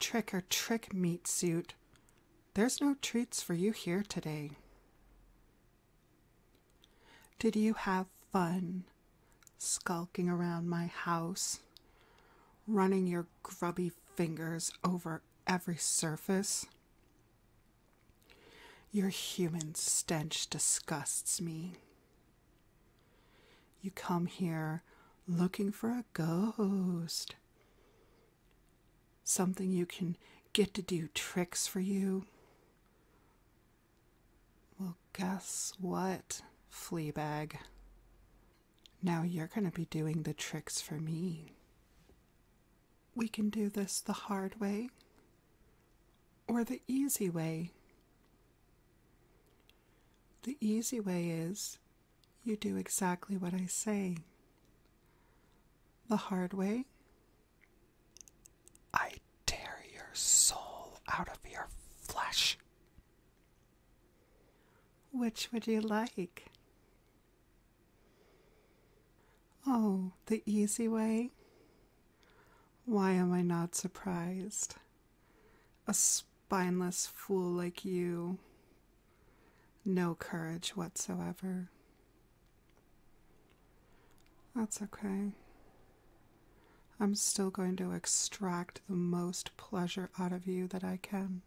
Trick or trick, meat suit. There's no treats for you here today. Did you have fun skulking around my house, running your grubby fingers over every surface? Your human stench disgusts me. You come here looking for a ghost, something you can get to do tricks for you. Well, guess what, Fleabag? Now you're going to be doing the tricks for me. We can do this the hard way or the easy way? The easy way is you do exactly what I say. The hard way, I tear your soul out of your flesh. Which would you like? Oh, the easy way? Why am I not surprised? A spineless fool like you. No courage whatsoever. That's okay. I'm still going to extract the most pleasure out of you that I can.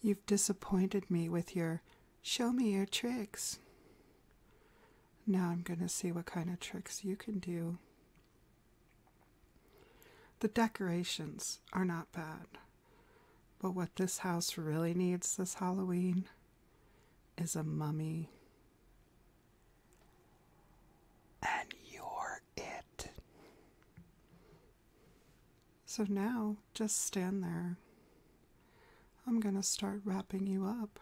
You've disappointed me with your Show me your tricks. Now I'm going to see what kind of tricks you can do. The decorations are not bad, but what this house really needs this Halloween is a mummy. And you're it. So now just stand there I'm going to start wrapping you up.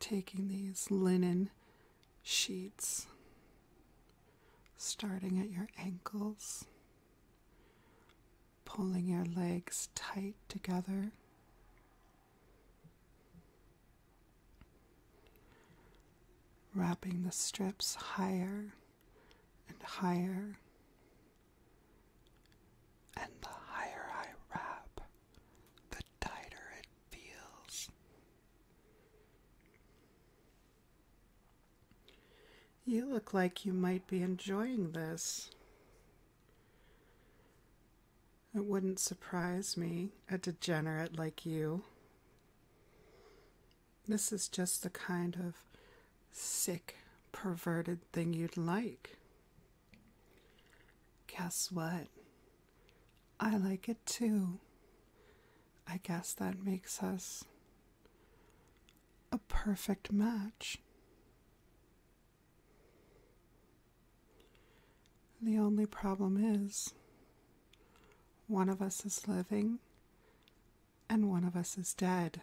Taking these linen sheets, starting at your ankles, pulling your legs tight together. Wrapping the strips higher and higher. And the higher I rap, the tighter it feels. You look like you might be enjoying this. It wouldn't surprise me, a degenerate like you. This is just the kind of sick, perverted thing you'd like. Guess what? I like it too. I guess that makes us a perfect match. The only problem is one of us is living and one of us is dead.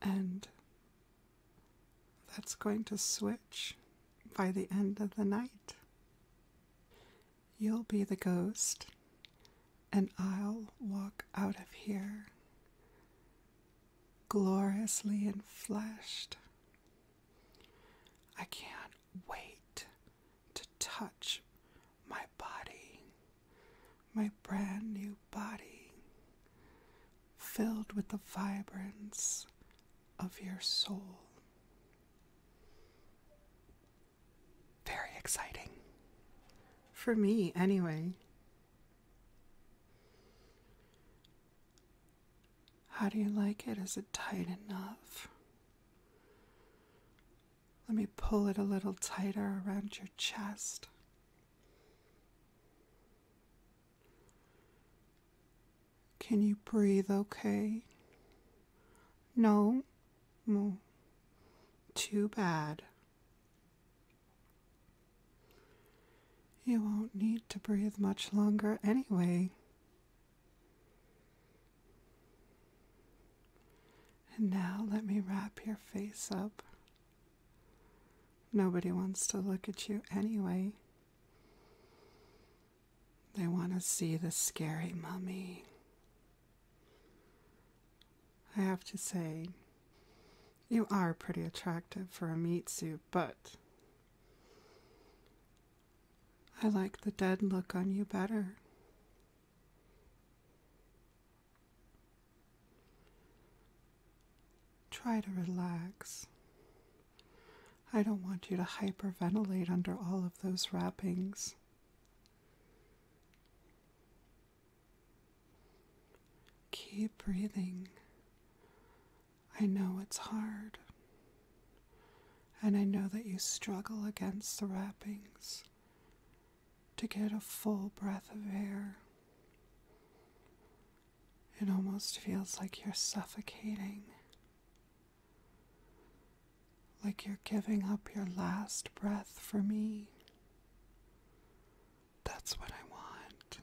And that's going to switch by the end of the night. You'll be the ghost, and I'll walk out of here gloriously and fleshed. I can't wait to touch my body, my brand new body, filled with the vibrance of your soul. Very exciting. For me, anyway. How do you like it? Is it tight enough? Let me pull it a little tighter around your chest. Can you breathe okay? No? Mm. Too bad. You won't need to breathe much longer anyway. And now let me wrap your face up. Nobody wants to look at you anyway. They want to see the scary mummy. I have to say, you are pretty attractive for a meat suit, but I like the dead look on you better. Try to relax. I don't want you to hyperventilate under all of those wrappings. Keep breathing. I know it's hard. And I know that you struggle against the wrappings to get a full breath of air. It almost feels like you're suffocating, like you're giving up your last breath for me. That's what I want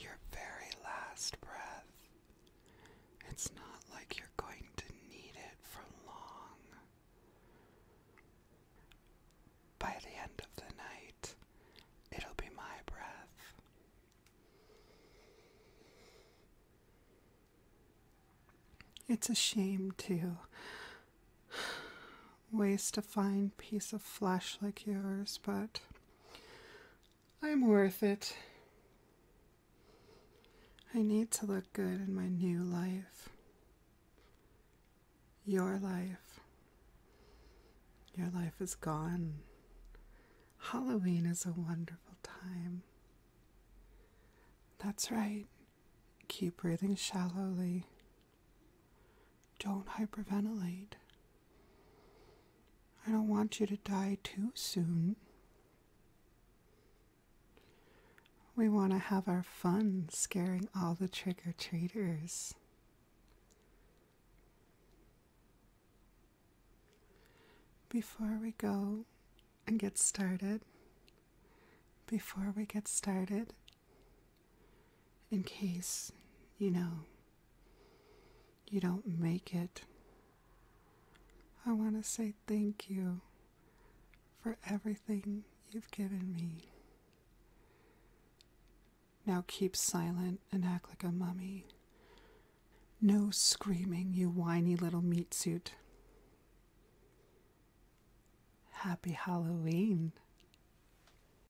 your very last breath. It's not like you're going to need it for long. By the end of the night, it'll be my breath. It's a shame, to Waste a fine piece of flesh like yours, but I'm worth it. I need to look good in my new life. Your life. Your life is gone. Halloween is a wonderful time. That's right. Keep breathing shallowly. Don't hyperventilate. I don't want you to die too soon. We want to have our fun scaring all the trick or treaters. Before we go and get started, before we get started, in case, you know, you don't make it. I want to say thank you for everything you've given me. Now keep silent and act like a mummy. No screaming, you whiny little meat suit. Happy Halloween.